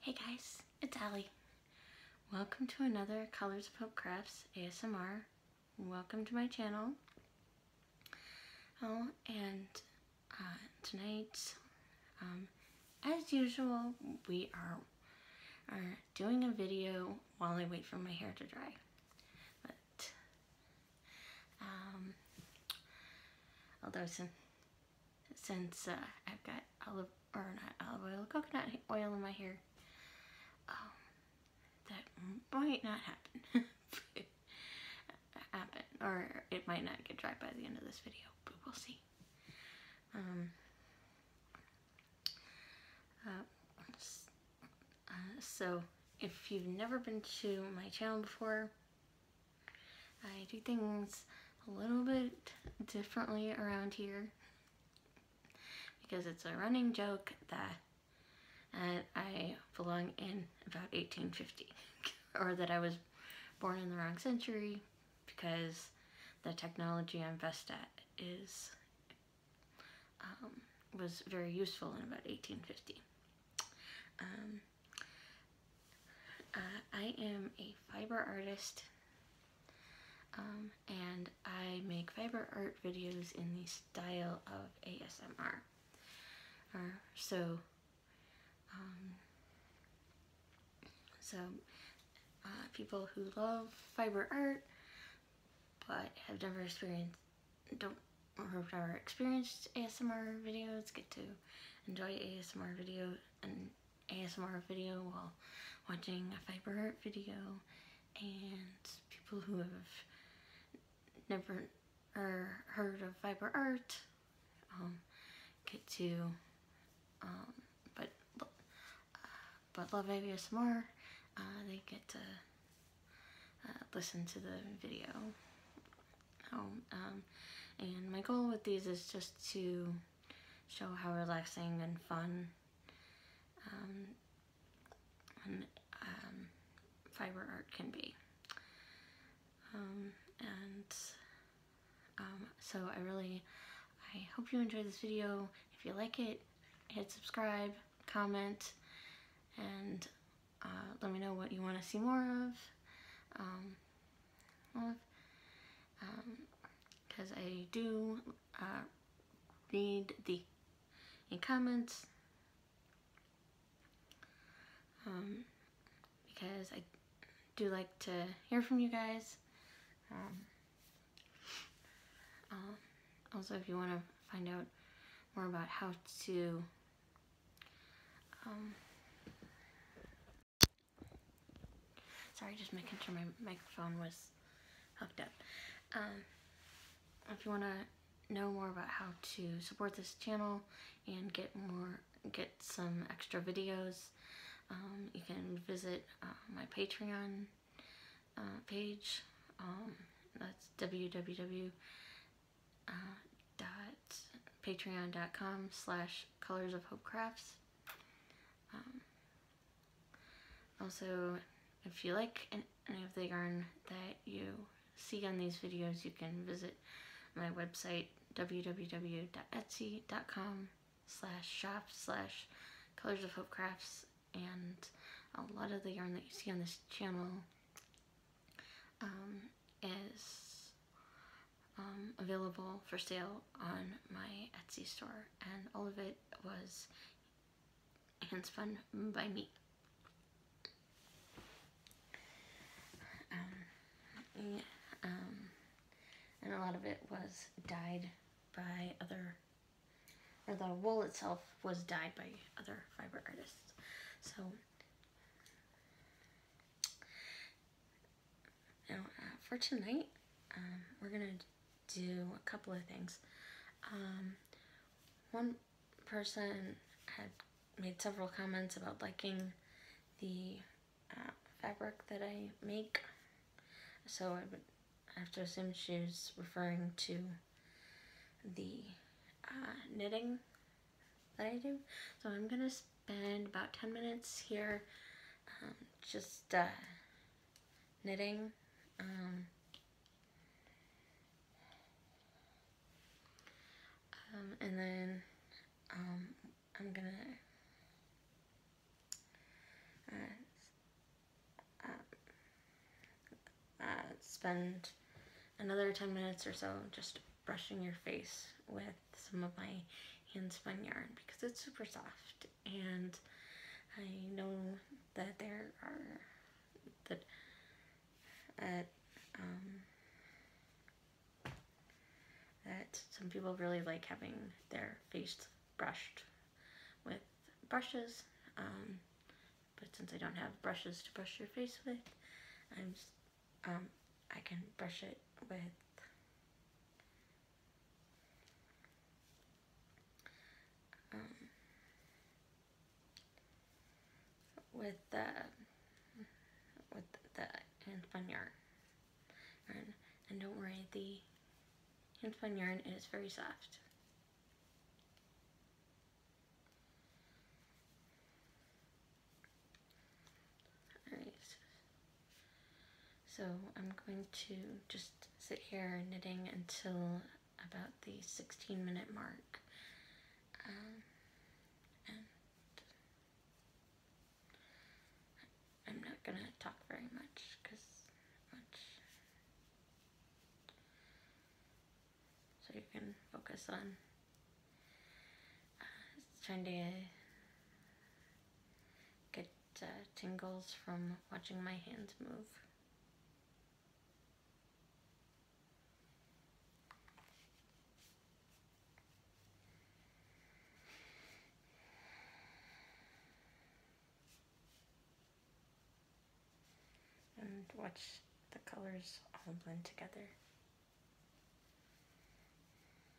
Hey guys, it's Ali. Welcome to another Colors of Hope Crafts ASMR. Welcome to my channel. Oh, and uh, tonight, um, as usual, we are, are doing a video while I wait for my hair to dry. But, um, although it's since uh, I've got olive or not olive oil, coconut oil in my hair. Um, that might not happen. happen, or it might not get dry by the end of this video, but we'll see. Um, uh, uh, so if you've never been to my channel before, I do things a little bit differently around here because it's a running joke that I belong in about 1850 or that I was born in the wrong century because the technology I'm best at is um, was very useful in about 1850. Um, uh, I am a fiber artist um, and I make fiber art videos in the style of ASMR. Uh, so, um, so uh, people who love fiber art but have never experienced, don't or have never experienced ASMR videos get to enjoy ASMR videos an ASMR video while watching a fiber art video and people who have never er, heard of fiber art um, get to um, but uh, but love ASMR uh, they get to uh, listen to the video um, and my goal with these is just to show how relaxing and fun um, um, fiber art can be. Um, and so I really, I hope you enjoyed this video. If you like it, hit subscribe, comment, and uh, let me know what you want to see more of because um, I do uh, read the comments um, because I do like to hear from you guys. Um, also, if you want to find out more about how to Sorry, just making sure my microphone was hooked up. Um, if you want to know more about how to support this channel and get more, get some extra videos, um, you can visit uh, my Patreon uh, page. Um, that's www. Uh, dot patreon.com slash colors of hope crafts. Um, also, if you like any of the yarn that you see on these videos, you can visit my website www.etsy.com slash shop slash colors of hope crafts and a lot of the yarn that you see on this channel um, is um, available for sale on my Etsy store, and all of it was hands fun by me. Um, um, and a lot of it was dyed by other, or the wool itself was dyed by other fiber artists. So now, uh, for tonight, um, we're going to do a couple of things. Um, one person had made several comments about liking the uh, fabric that I make. So I would have to assume she was referring to the uh, knitting that I do. So I'm going to spend about 10 minutes here um, just uh, knitting. Um, um, and then I'm gonna uh, uh, spend another 10 minutes or so just brushing your face with some of my handspun yarn because it's super soft and I know that there are that that um, some people really like having their face brushed with brushes um, but since I don't have brushes to brush your face with I'm um, I can brush it with um, with the with the hand spun yarn. And, and don't worry, the hand spun yarn is very soft so I'm going to just sit here knitting until about the 16 minute mark. Um, I'm not going to talk very much because So you can focus on uh, trying to get uh, tingles from watching my hands move. And watch the colors all blend together.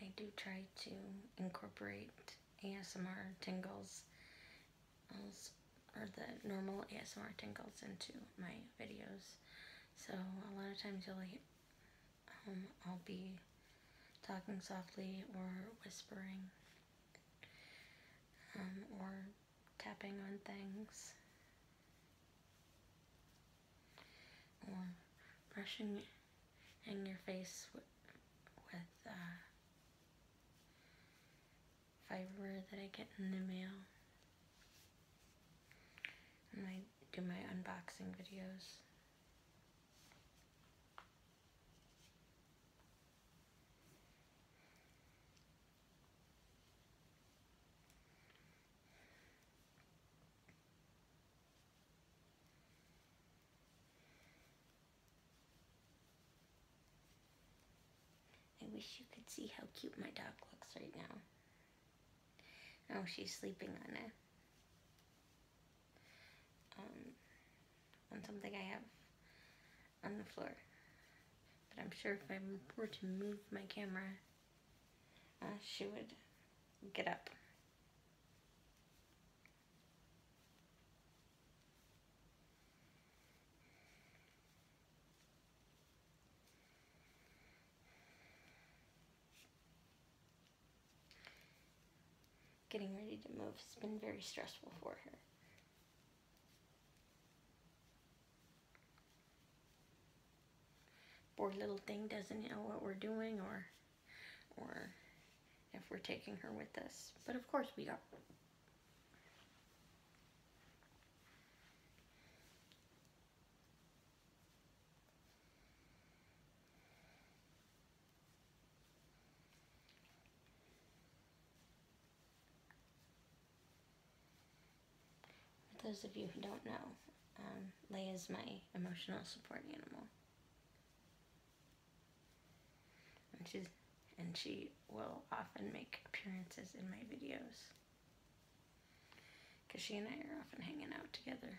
I do try to incorporate ASMR tingles or the normal ASMR tingles into my videos. So a lot of times you'll hear, um, I'll be talking softly or whispering um, or tapping on things or brushing in your face with, uh, fiber that I get in the mail. And I do my unboxing videos. I wish you could see how cute my dog looks right now. Oh, she's sleeping on it. Um, on something I have on the floor. But I'm sure if I were to move my camera, uh, she would get up. Getting ready to move has been very stressful for her. Poor little thing doesn't know what we're doing or, or if we're taking her with us. But of course we are. For those of you who don't know, um, is my emotional support animal. And she's and she will often make appearances in my videos. Cause she and I are often hanging out together.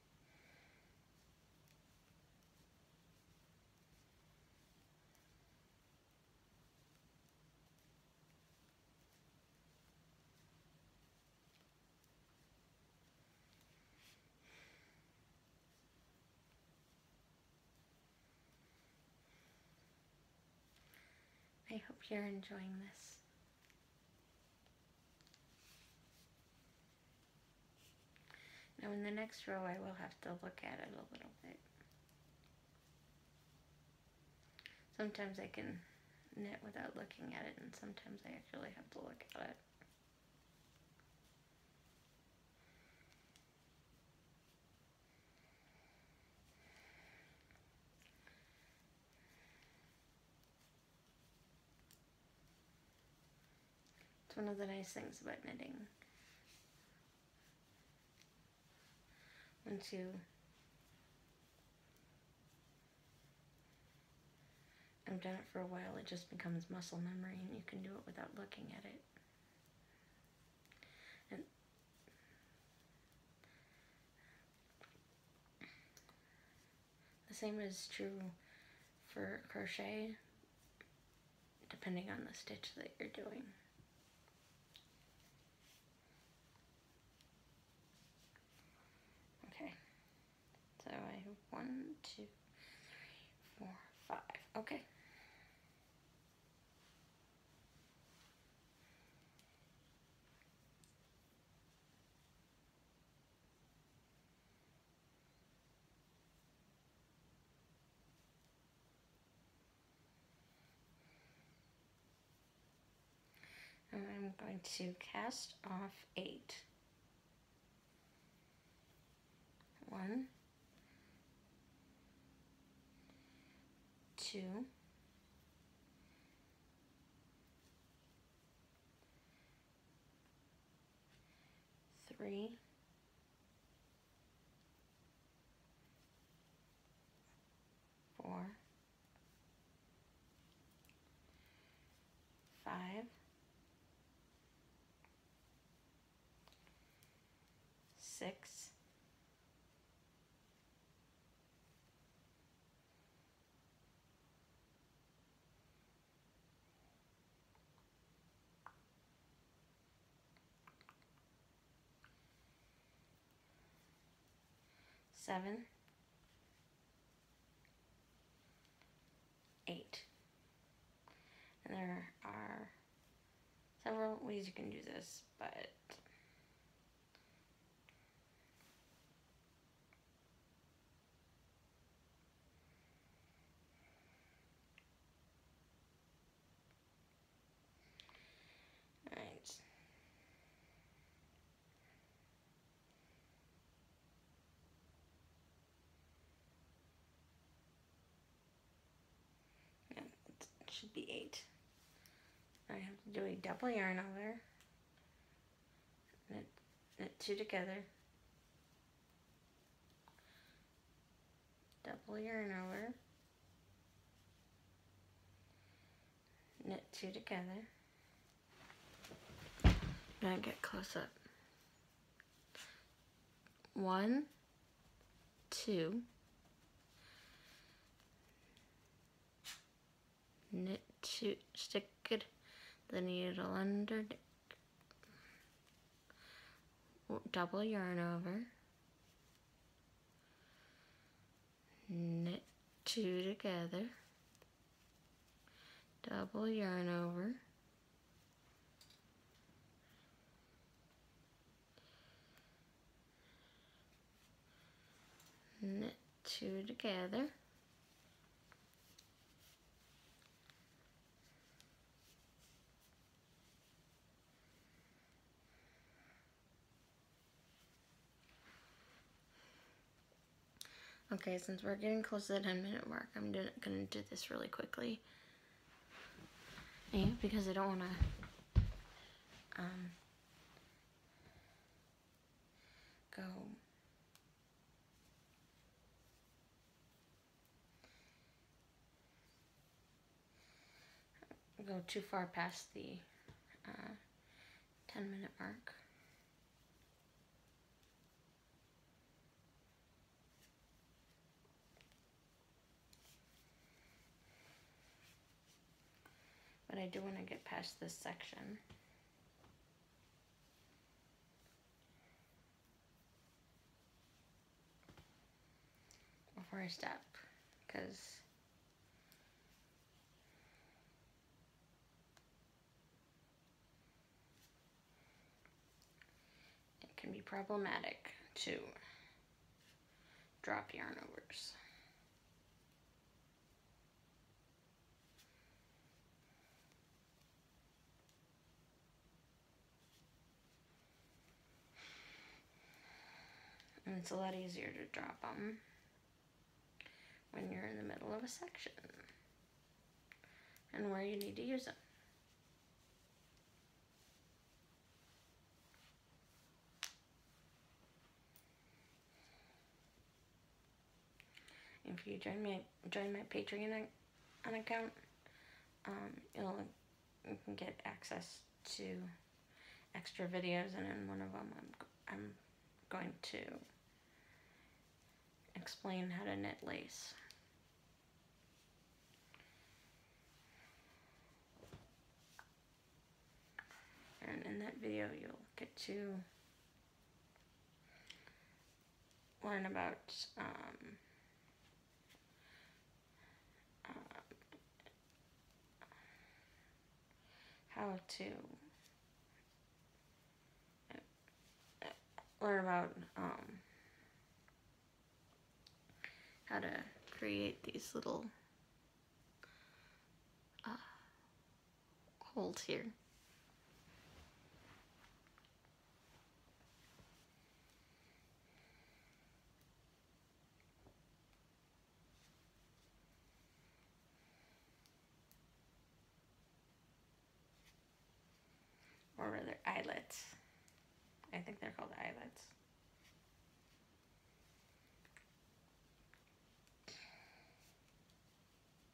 I hope you're enjoying this. Now in the next row I will have to look at it a little bit. Sometimes I can knit without looking at it and sometimes I actually have to look at it. It's one of the nice things about knitting. Once you have done it for a while, it just becomes muscle memory and you can do it without looking at it. The same is true for crochet, depending on the stitch that you're doing. Okay, so I have one, two, three, four, five. Okay. And I'm going to cast off eight. One, two, three, four, five, six, seven, eight. And there are several ways you can do this, but Alright. Yeah, it should be eight. I have to do a double yarn over knit, knit two together, double yarn over, knit two together, now get close up. One, two, knit two, stick it, the needle under double yarn over, knit two together, double yarn over, knit two together, Okay, since we're getting close to the 10 minute mark, I'm gonna, do this really quickly. Yeah, because I don't wanna, um, go go too far past the uh, 10 minute mark. But I do want to get past this section before I step because it can be problematic to drop yarn overs. And it's a lot easier to drop them when you're in the middle of a section and where you need to use them. If you join me, join my Patreon an account, um, you'll you can get access to extra videos, and in one of them, I'm I'm going to explain how to knit lace. And in that video, you'll get to or about um, uh, how to uh, learn about um, how to create these little uh, holes here. Or rather, eyelids. I think they're called eyelids.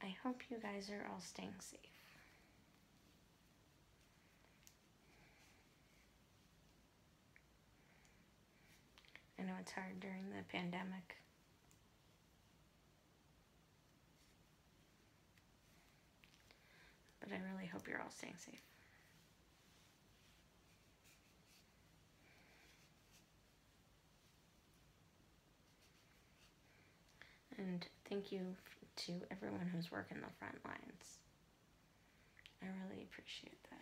I hope you guys are all staying safe. I know it's hard during the pandemic. But I really hope you're all staying safe. And thank you to everyone who's working the front lines. I really appreciate that.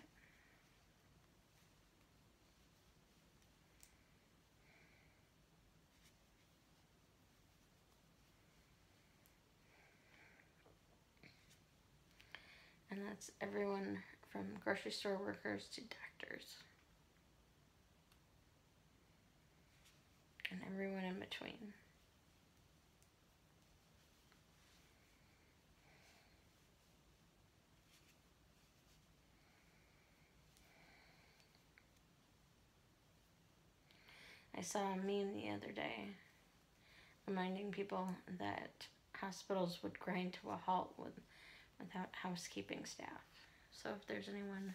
And that's everyone from grocery store workers to doctors and everyone in between. I saw a meme the other day reminding people that hospitals would grind to a halt with, without housekeeping staff. So if there's anyone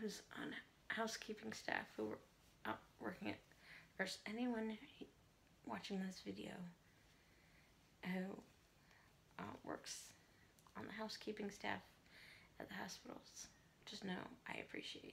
Who's on housekeeping staff who are working at, or anyone watching this video who uh, works on the housekeeping staff at the hospitals, just know I appreciate you.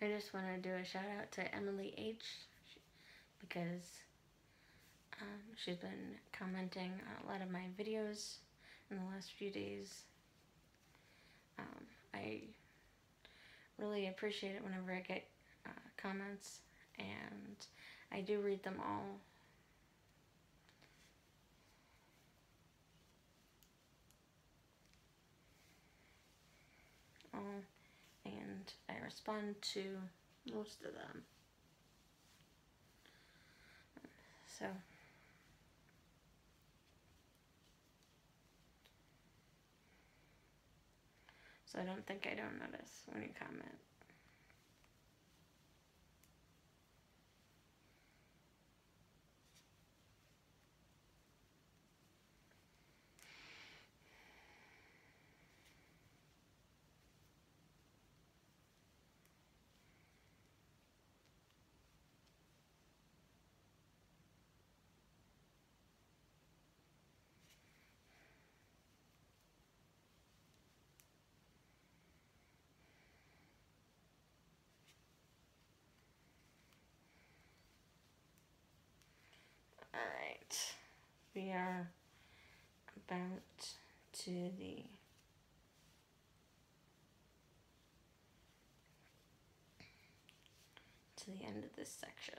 I just want to do a shout out to Emily H because um, she's been commenting on a lot of my videos in the last few days. Um, I really appreciate it whenever I get uh, comments, and I do read them all. all and I respond to most of them. So. So I don't think I don't notice when you comment. Alright, we are about to the to the end of this section.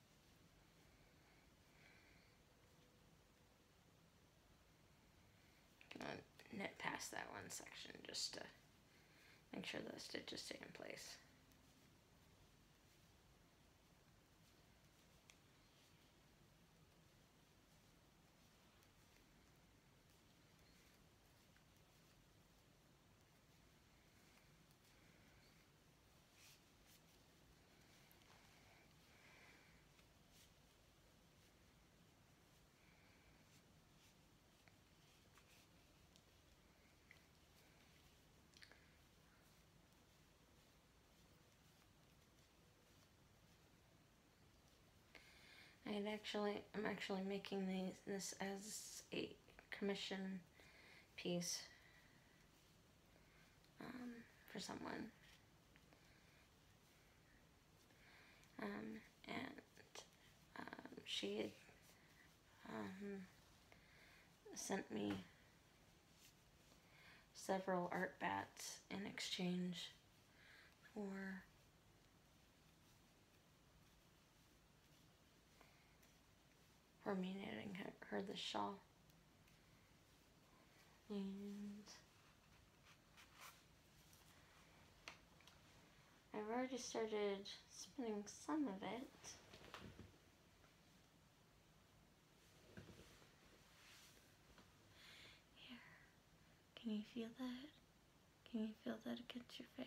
knit uh, past that one section just to make sure the stitches stay in place i actually, I'm actually making these, this as a commission piece um, for someone. Um, and um, she sent me several art bats in exchange for her meaning her, her the shawl. And I've already started spinning some of it. Here, can you feel that? Can you feel that against your face?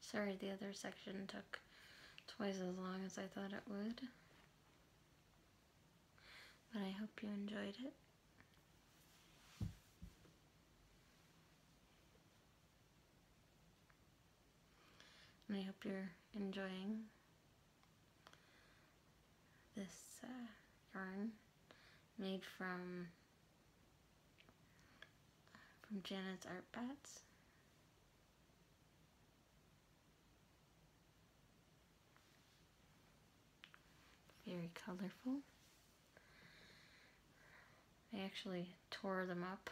Sorry, the other section took twice as long as I thought it would. But I hope you enjoyed it. And I hope you're enjoying this uh, yarn made from from Janet's art pads. Very colorful. I actually tore them up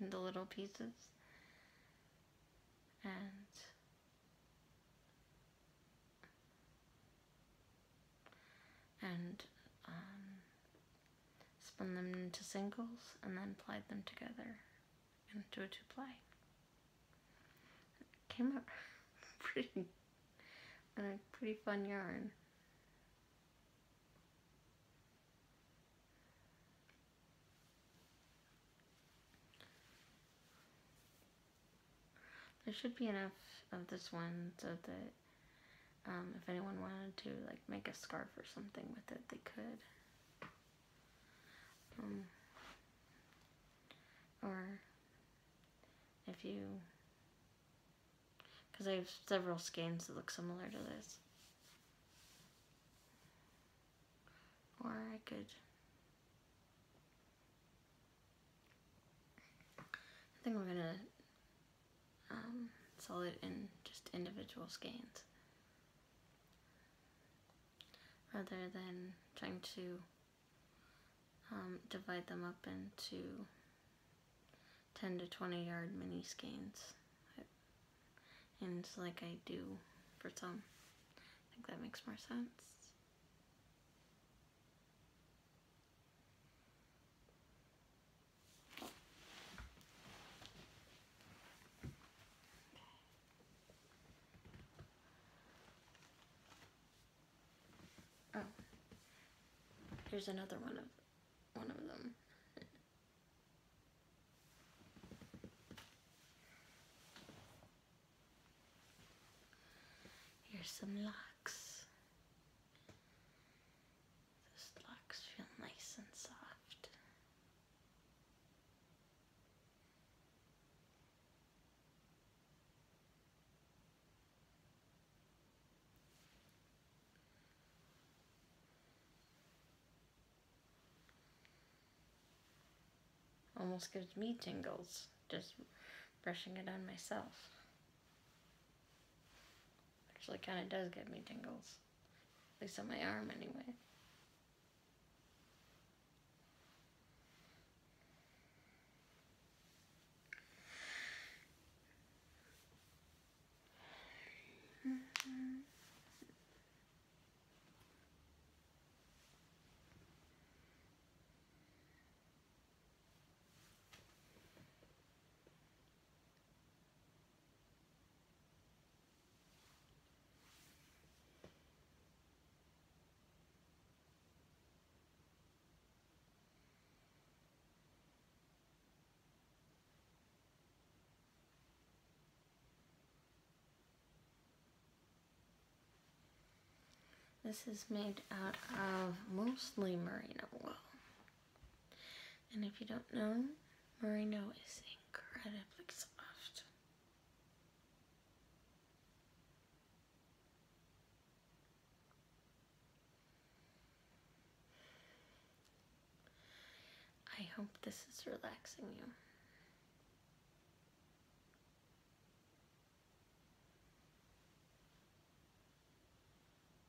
into little pieces and and um, spun them into singles and then plied them together into a two-ply. Came up pretty, and a pretty fun yarn. There should be enough of this one so that um, if anyone wanted to like make a scarf or something with it, they could. Um, or if you, because I have several skeins that look similar to this. Or I could, I think we're gonna um, solid and just individual skeins rather than trying to um, divide them up into 10 to 20 yard mini skeins and like I do for some. I think that makes more sense. Oh. Here's another one of one of them. Here's some locks. Those locks feel nice and soft. Almost gives me tingles just brushing it on myself. Actually, kind of does give me tingles. At least on my arm, anyway. Mm-hmm. This is made out of mostly merino wool. And if you don't know, merino is incredibly soft. I hope this is relaxing you.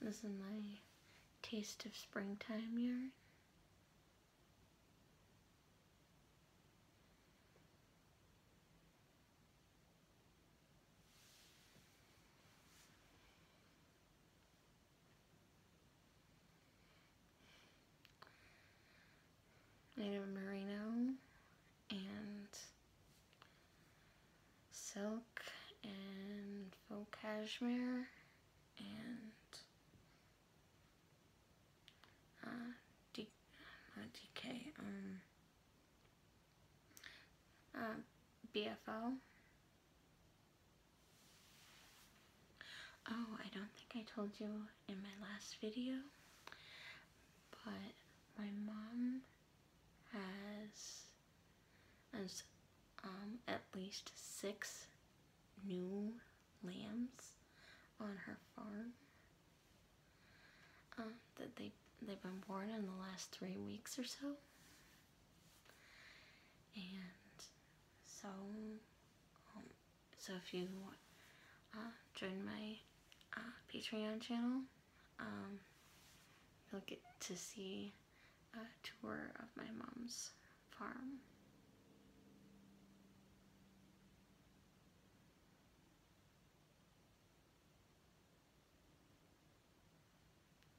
This is my taste of springtime yarn. Native merino and silk and faux cashmere and uh, D not uh, DK, um, uh, BFO Oh, I don't think I told you in my last video, but my mom has, has um, at least six new lambs on her farm um, that they, they've been born in the last three weeks or so. And so, um, so if you uh, join my uh, Patreon channel, um, you'll get to see a tour of my mom's farm.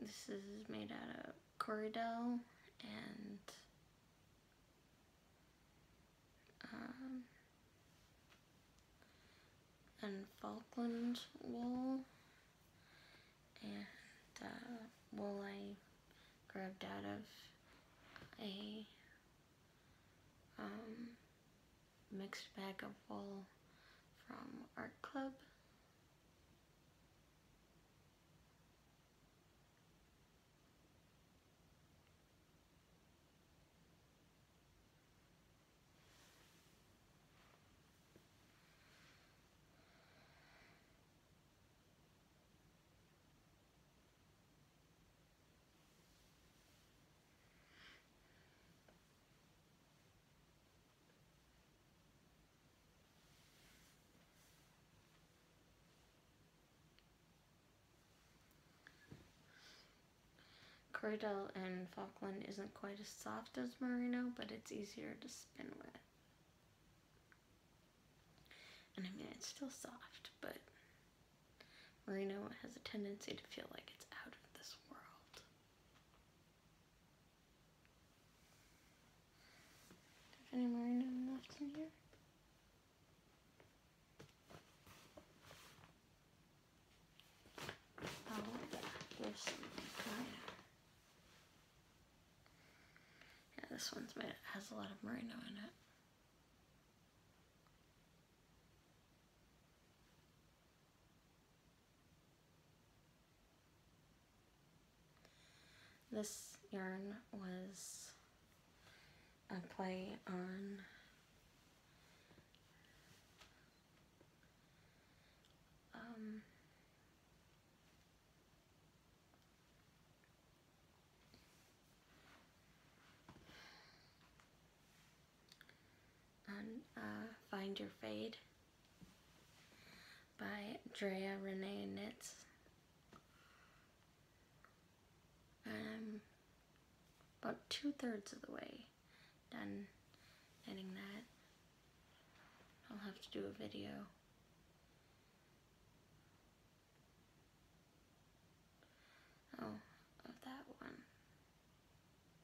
This is made out of corduroy and um, and Falkland wool and uh, wool I grabbed out of a um, mixed bag of all from Art Club. Cordell and Falkland isn't quite as soft as Merino, but it's easier to spin with. And I mean, it's still soft, but Merino has a tendency to feel like it's out of this world. There's any merino left in here? Oh, yeah, there's some Yeah, this one's made, has a lot of merino in it. This yarn was a play on um, on uh, Find Your Fade by Drea Renee Knits. I'm about two-thirds of the way done knitting that. I'll have to do a video. Oh, of that one.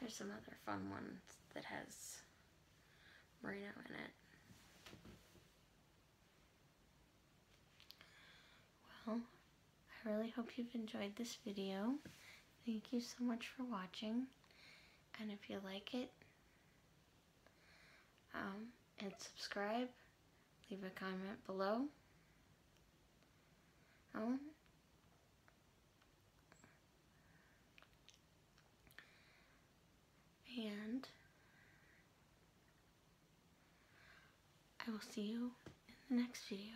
There's another fun one that has merino in it. Well, I really hope you've enjoyed this video. Thank you so much for watching. And if you like it, um, and subscribe, leave a comment below. Um, and I will see you in the next video.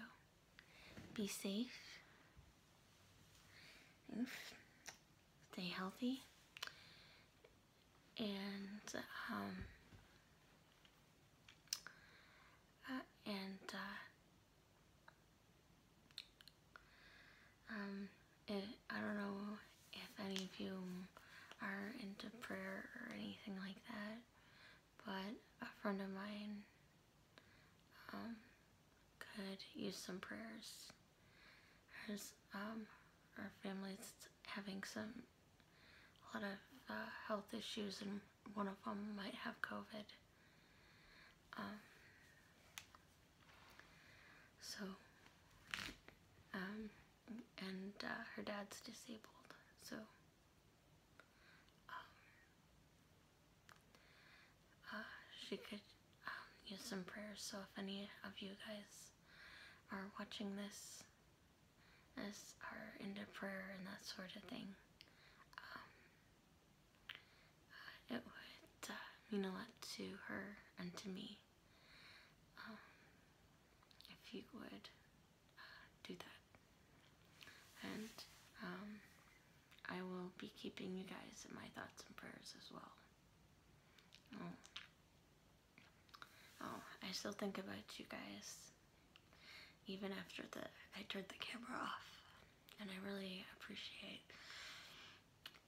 Be safe. Stay healthy. And, um, uh, and, uh, um, eh, I don't know if any of you are into prayer or anything like that, but a friend of mine um, could use some prayers. Hers, um, our family's having some, a lot of uh, health issues and one of them might have COVID. Um, so, and uh, her dad's disabled, so um, uh, she could um, use some prayers. So if any of you guys are watching this, as are into prayer and that sort of thing, um, uh, it would uh, mean a lot to her and to me. if you would do that. And um, I will be keeping you guys in my thoughts and prayers as well. Oh. oh. I still think about you guys even after the I turned the camera off. And I really appreciate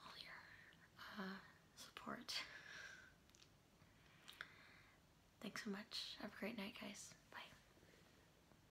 all your uh, support. Thanks so much. Have a great night, guys. Bye.